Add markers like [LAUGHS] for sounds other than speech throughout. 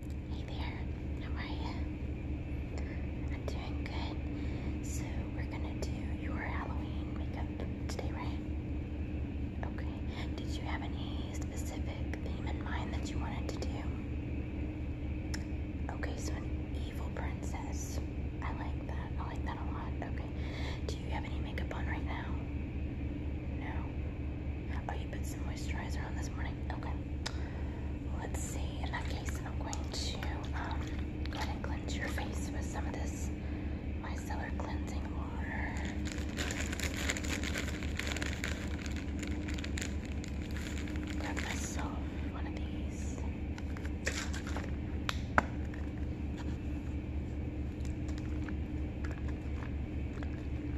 Hey there, how are you? I'm doing good. So we're gonna do your Halloween makeup today, right? Okay. Did you have any specific theme in mind that you wanted to do? Okay, so an evil princess. I like that. I like that a lot. Okay. Do you have any makeup on right now? No. Oh, you put some moisturizer on this morning? Okay let's see. In that case, I'm going to um, go ahead and cleanse your face with some of this micellar cleansing water. Grab myself one of these.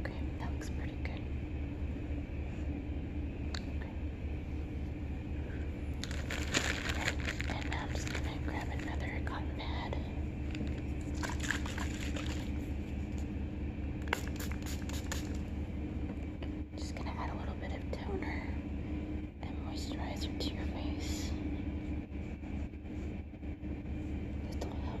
Okay, that looks pretty good. Okay. And, now I'm just gonna grab another cotton pad. Just gonna add a little bit of toner and moisturizer to your face. This will help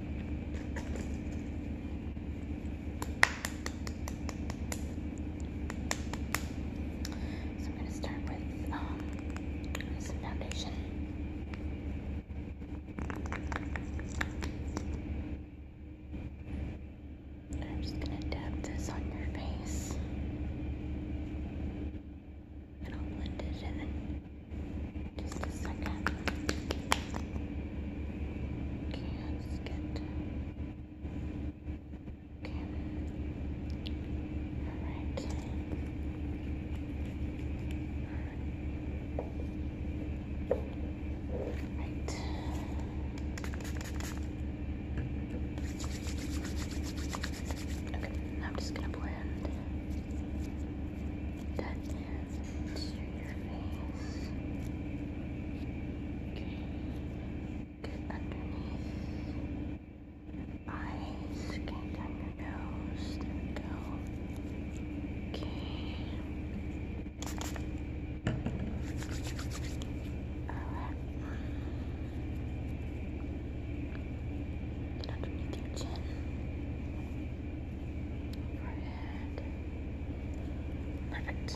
So I'm going to start with um, some foundation. I'm just going to dab this on your face. And I'll blend it in. Just a second. Okay, let get. Okay. All right. Right. Okay, I'm just gonna blend down there Okay. underneath eyes, get down your nose. There we go. Okay. Alright. underneath your chin. Right perfect.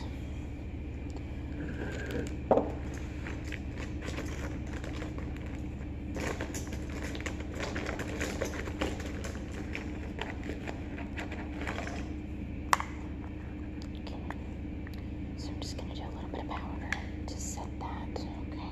So I'm just going to do a little bit of powder to set that, Okay.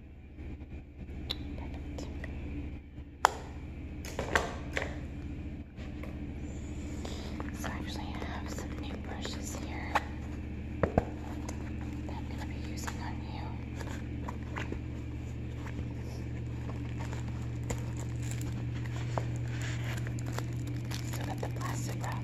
Perfect. So actually I have some new brushes here that I'm going to be using on you. So that the plastic wrap.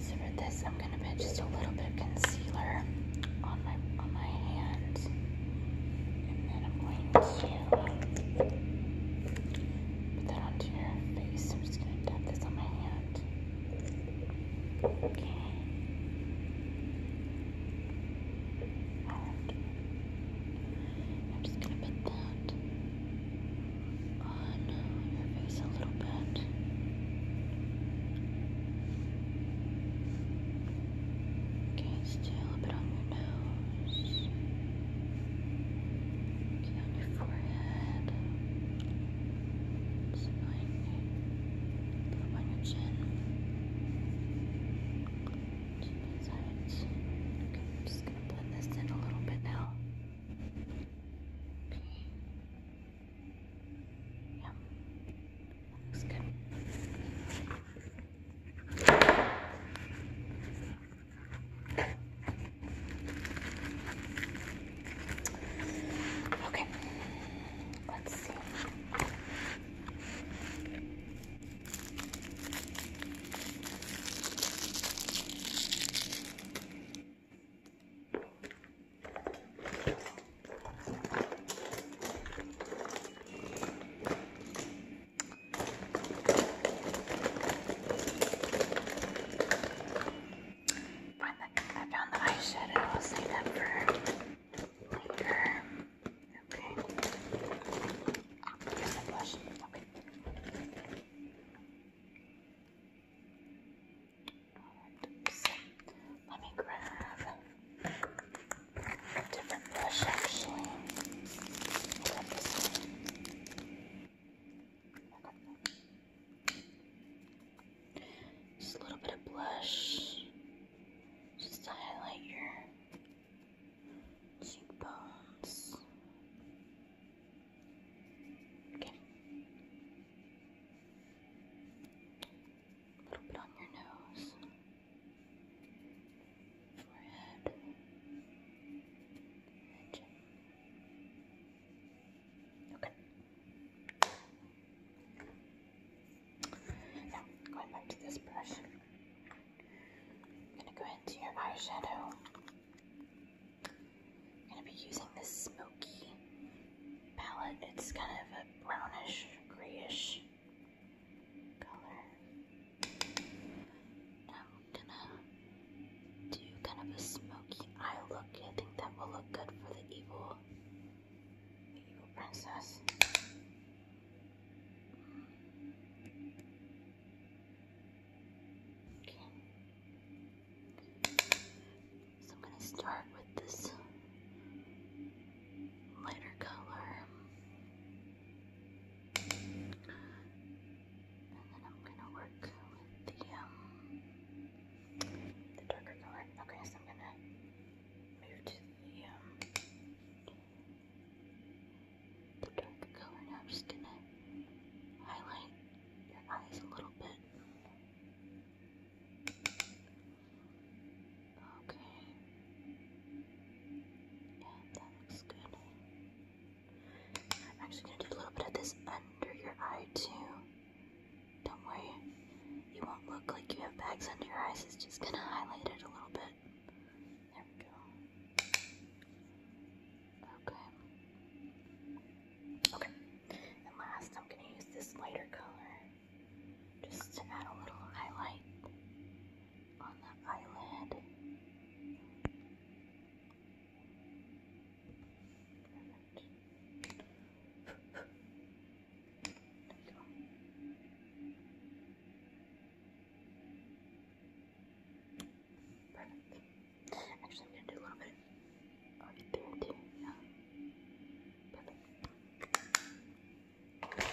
So for this, I'm gonna put just a little bit of concealer on my on my hand, and then I'm going to put that onto your face. I'm just gonna dab this on my hand. Okay. I'm just going to put that on your face a little bit. Okay, still a bit on your nose. Okay, on your forehead. It's fine. Put up on your chin. Two sides. Okay, just gonna blend this in a little bit now. Okay. Yeah. looks good. Okay. Let's see. When the, I found the eyeshadow, I'll save that for later. Okay. Here's the blush. Okay. Let me grab a different brush actually. Just a little bit of blush. Just highlight your cheekbones. Okay. A little bit on your nose, forehead, chin. Okay. Now, going back to this brush. I'm gonna go into your eyeshadow. I'm gonna be using this smoky palette. It's kind of a brownish, grayish color. I'm gonna do kind of a smoky eye look. I think that will look good for the evil, evil princess. Okay. So I'm going to start with this lighter color. And then I'm going to work with the, um, the darker color. Okay, so I'm going to move to the, um, the dark color. Now I'm just gonna highlight your eyes a little bit. Okay. Yeah, that looks good. I'm actually gonna do a little bit of this under your eye too. Don't worry, you won't look like you have bags under your eyes. It's just gonna highlight it a little bit one. There we go. Okay. Okay. And last, I'm going to use this lighter color just to add a little highlight on the eyelid. There we go. Perfect. Actually, I'm going to do a little bit right there too. Yeah. Okay.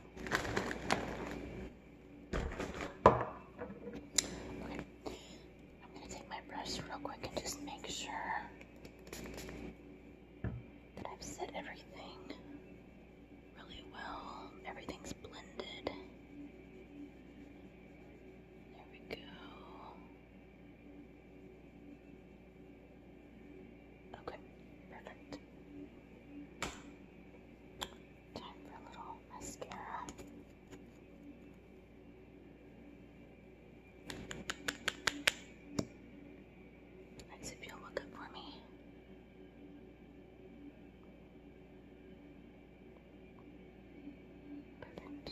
Okay. I'm going to take my brush real quick and just make sure that I've set everything really well. Everything's blended. There we go. Okay, perfect. Time for a little mascara. Next, if you'll look up for me. Perfect.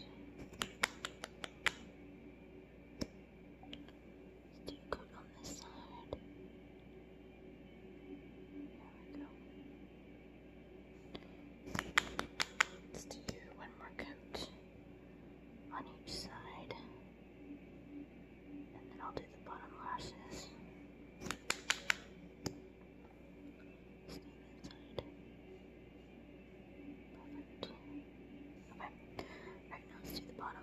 Let's do good on this side. There we go. Let's do one more coat on each side. And then I'll do the bottom lashes. Stay inside. Perfect. Okay. Alright, now let's do the bottom.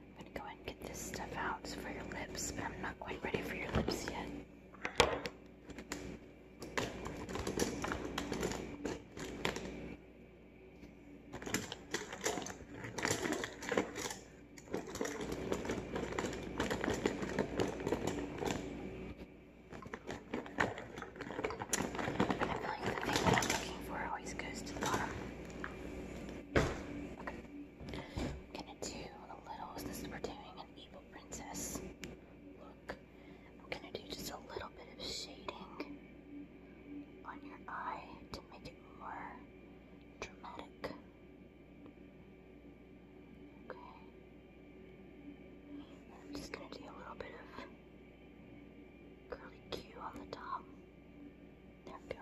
I'm gonna go ahead and get this stuff out for your lips, but I'm not quite ready for your lips yet. I feel like the thing that I'm looking for always goes to the bottom. Okay gonna do a little, since we're doing an evil princess look, I'm gonna do just a little bit of shading on your eye to make it more dramatic. Okay. I'm just gonna do a little bit of curly Q on the top. There we go.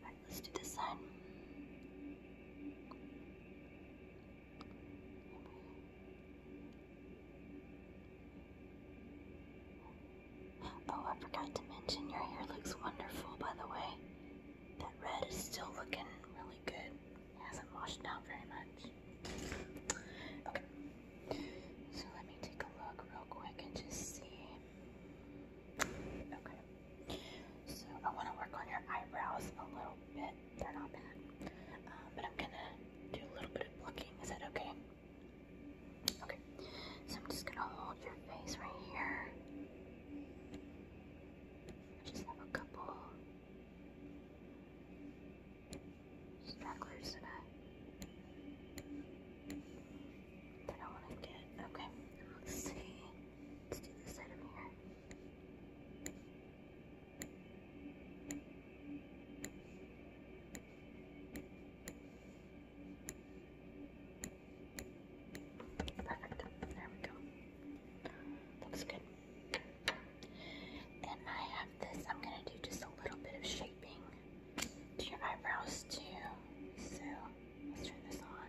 Alright, let's do this side. Oh, I forgot to mention your hair looks wonderful, by the way. That red is still looking really good. It hasn't washed out very much. Okay. So let me take a look real quick and just see. Okay. So I want to work on your eyebrows a little bit. They're not bad. Um, but I'm going to do a little bit of plucking. Is that okay? Okay. So I'm just going to hold your face right here. I just have a couple stragglers that I that I want to get. Okay, see. Let's do this Perfect. There we go. Looks good. And I have this. I'm going to do just a little bit of shaping to your eyebrows too. So let's turn this on.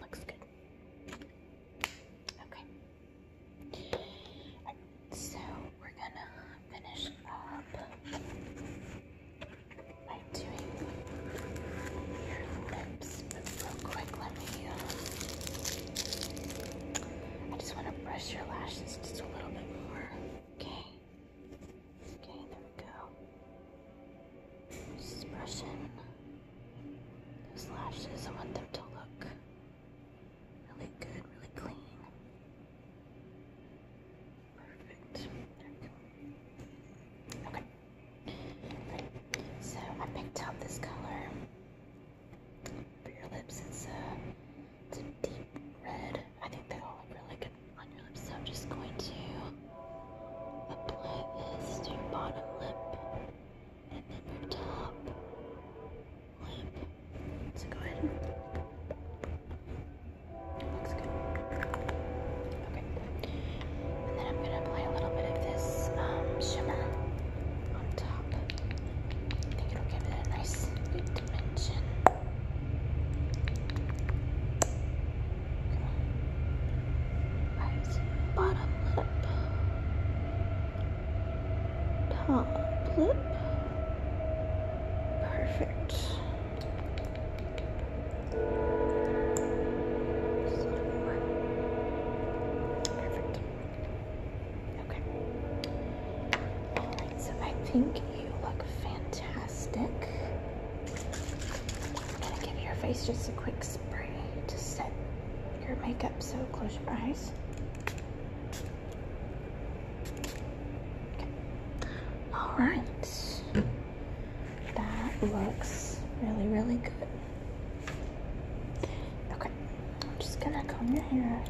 Looks good. Okay. So we're gonna finish up by doing your lips real quick. Let me. Uh, I just want to brush your lashes just a little bit more. Okay. Okay, there we go. Just brushing those lashes. I want them to look really good, really clean. Perfect. There we go. Okay. So I picked out this color for your lips. it's a deep red. I think they all look really good on your lips, so I'm just going to apply this to your bottom lip and then your top lip. So go ahead. It looks good. Okay. And then I'm going to apply a little bit of this um, shimmer on top. I think it'll give it nice good dimension bottom lip, top lip. Perfect. Perfect. Okay. so I think you look fantastic plastic. I'm gonna give your face just a quick spray to set your makeup. So close your eyes. All right. That looks really, really good. Okay, I'm just gonna comb your hair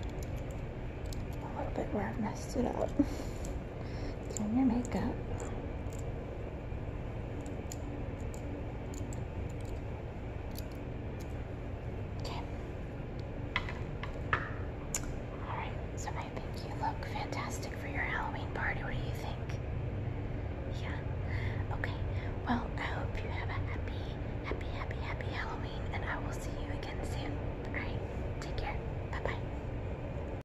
a little bit where I messed it up. [LAUGHS] and your makeup. Okay. All right. So I think you look fantastic for your Halloween party. What do you think? Yeah. Okay. Well, I hope you have a happy, happy, happy, happy Halloween, and I will see you again soon. All right. Take care. Bye bye.